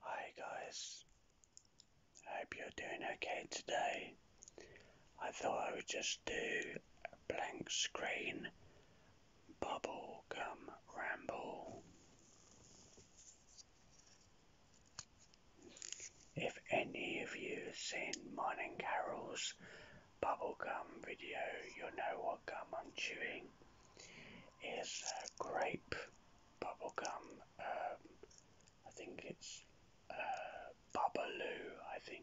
Hi guys, I hope you're doing okay today. I thought I would just do a blank screen bubblegum ramble. If any of you have seen Morning and Carol's bubblegum video, you'll know what gum I'm chewing is uh, grape bubblegum. Um, I think it's uh, Babaloo, I think.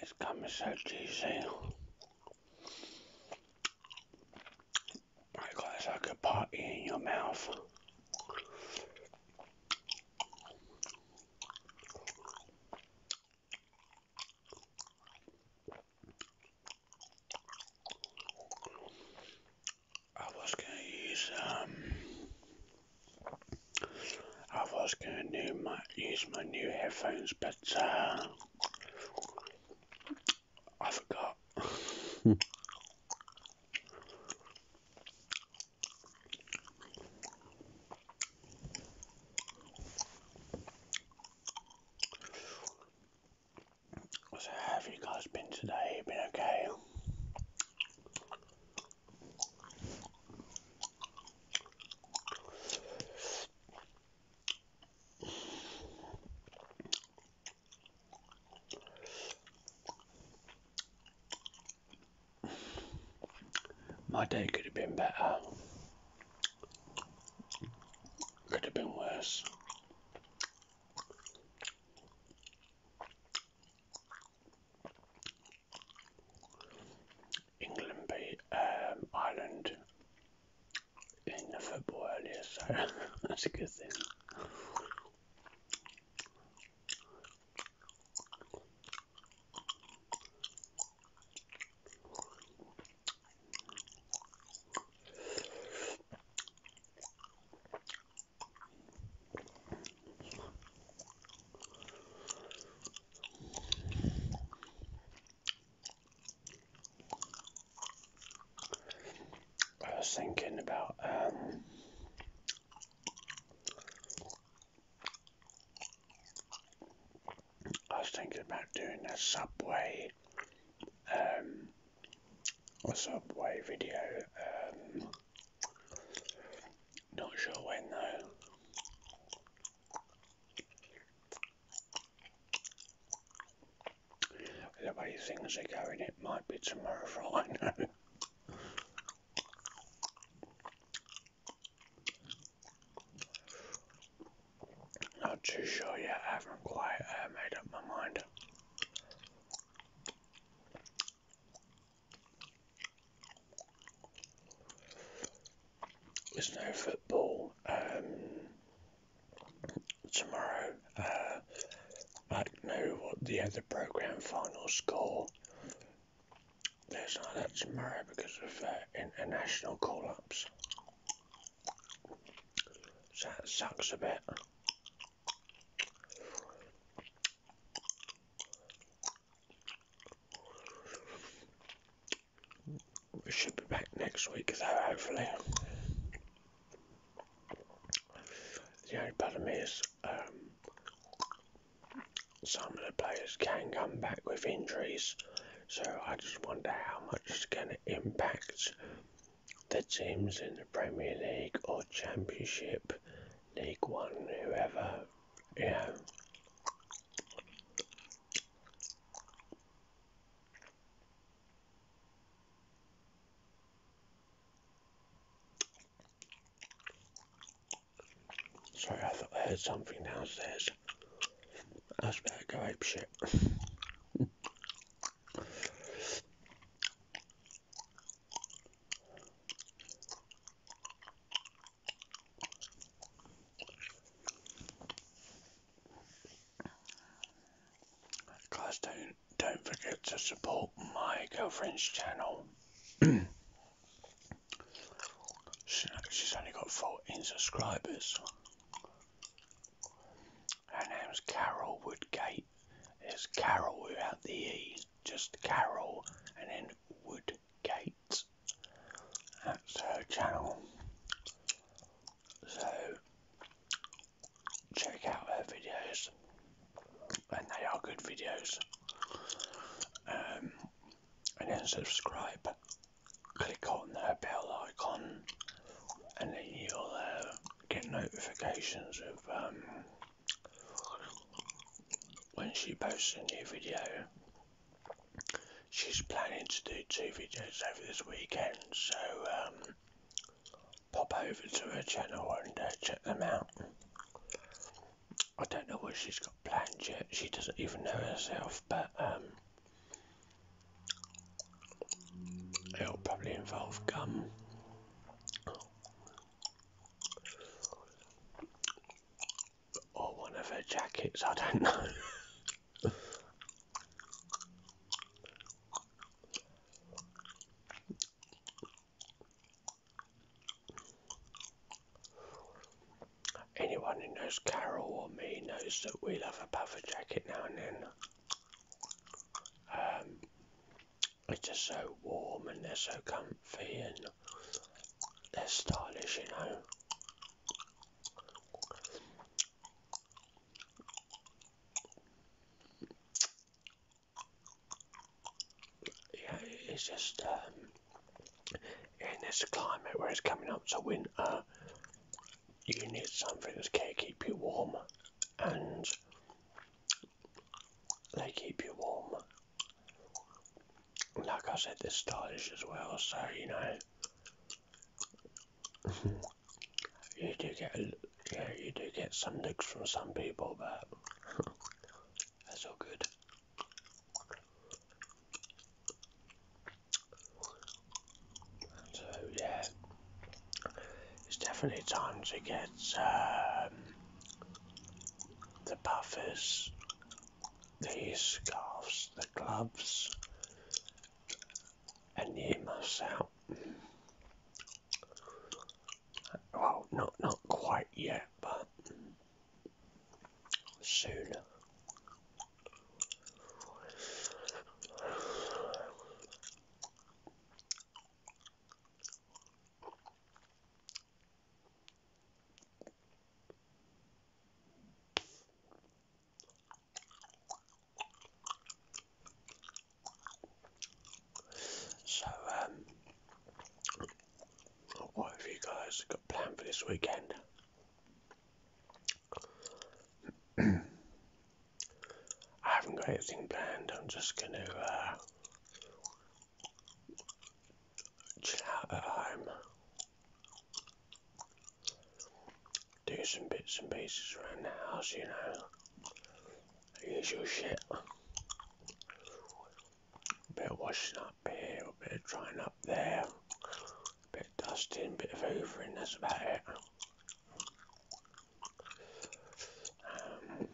It's coming so easy. My God, it's like a party in your mouth. I was going to use um, I was gonna use my new headphones, but uh, I forgot. so, have you guys been today? Been okay? My day could have been better, could have been worse. England beat um, Ireland in the football area. so that's a good thing. I was thinking about um, I was thinking about doing a subway um, a subway video um, not sure when though. The way things are going, it might be tomorrow for all I know. Not too sure yet, I haven't quite uh, made up my mind. There's no football um, tomorrow. Uh, I don't know what the other program final score. There's not that tomorrow because of uh, international call-ups. that sucks a bit. We should be back next week though, hopefully. The only problem is, um, some of the players can come back with injuries, so I just wonder how much it's going to impact the teams in the Premier League or Championship, League One, whoever, you know. Sorry, I thought I heard something downstairs. That's was about to go ape Guys, don't don't forget to support my girlfriend's channel. she's only got 14 subscribers. Her name's Carol Woodgate. It's Carol without the E, just Carol and then Woodgate. That's her channel. So check out her videos, and they are good videos. Um, and then subscribe. Click on the bell icon and then you'll uh, get notifications of um, when she posts a new video. She's planning to do two videos over this weekend, so um, pop over to her channel and uh, check them out. I don't know what she's got planned yet, she doesn't even know herself, but um, It'll probably involve gum. Or one of her jackets, I don't know. Anyone who knows Carol or me knows that we love a puffer jacket now and then. Um, it's just so warm and they're so comfy and they're stylish, you know. Yeah, it's just um, in this climate where it's coming up to winter, you need something that's going to keep you warm and they keep you warm. Like I said, they're stylish as well, so you know, you do get yeah, you do get some looks from some people, but that's all good. So yeah, it's definitely time to get um, the puffers, the scarves, the gloves, and you earmuffs Well, not not quite yet, but soon. So, um, what have you guys got planned for this weekend? I haven't got anything planned. I'm just going to uh, chill out at home, do some bits and pieces around the house, you know, the your shit. A bit of washing up here, a bit of drying up there, bit of dusting, bit of hoovering, that's about it. Um,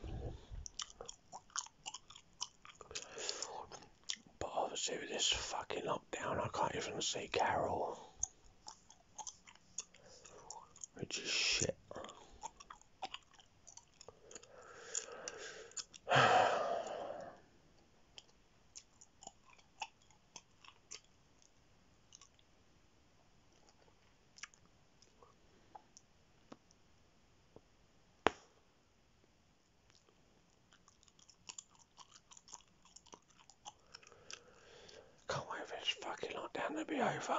but obviously with this fucking lockdown I can't even see Carol. Which is shit. Can't wait for this fucking lockdown to be over.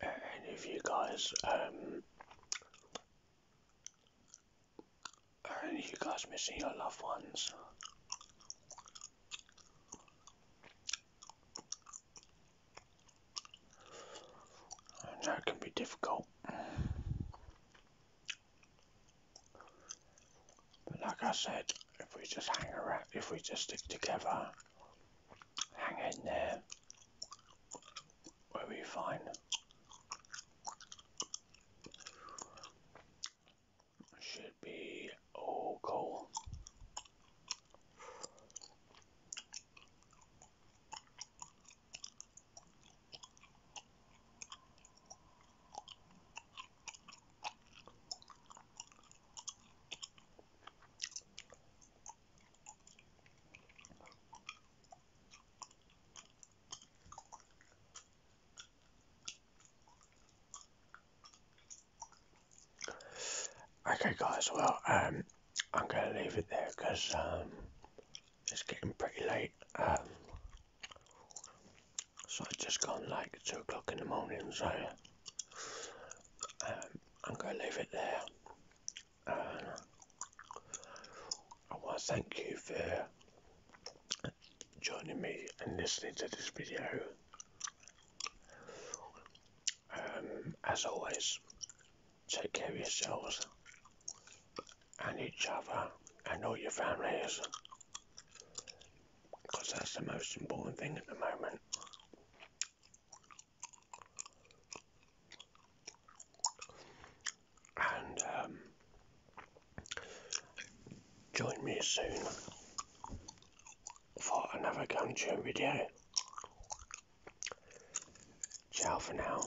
Any of you guys, um, are you guys missing your loved ones? that can be difficult. But like I said, if we just hang around, if we just stick together, hang in there, we'll be fine. Should be all cool. Okay, guys. Well, um, I'm gonna leave it there because um, it's getting pretty late. Um, so I just gone like two o'clock in the morning, so um, I'm going to leave it there. I want to thank you for joining me and listening to this video. Um, as always, take care of yourselves and each other and all your families because that's the most important thing at the moment. And um, join me soon for another Gumtree video. Ciao for now.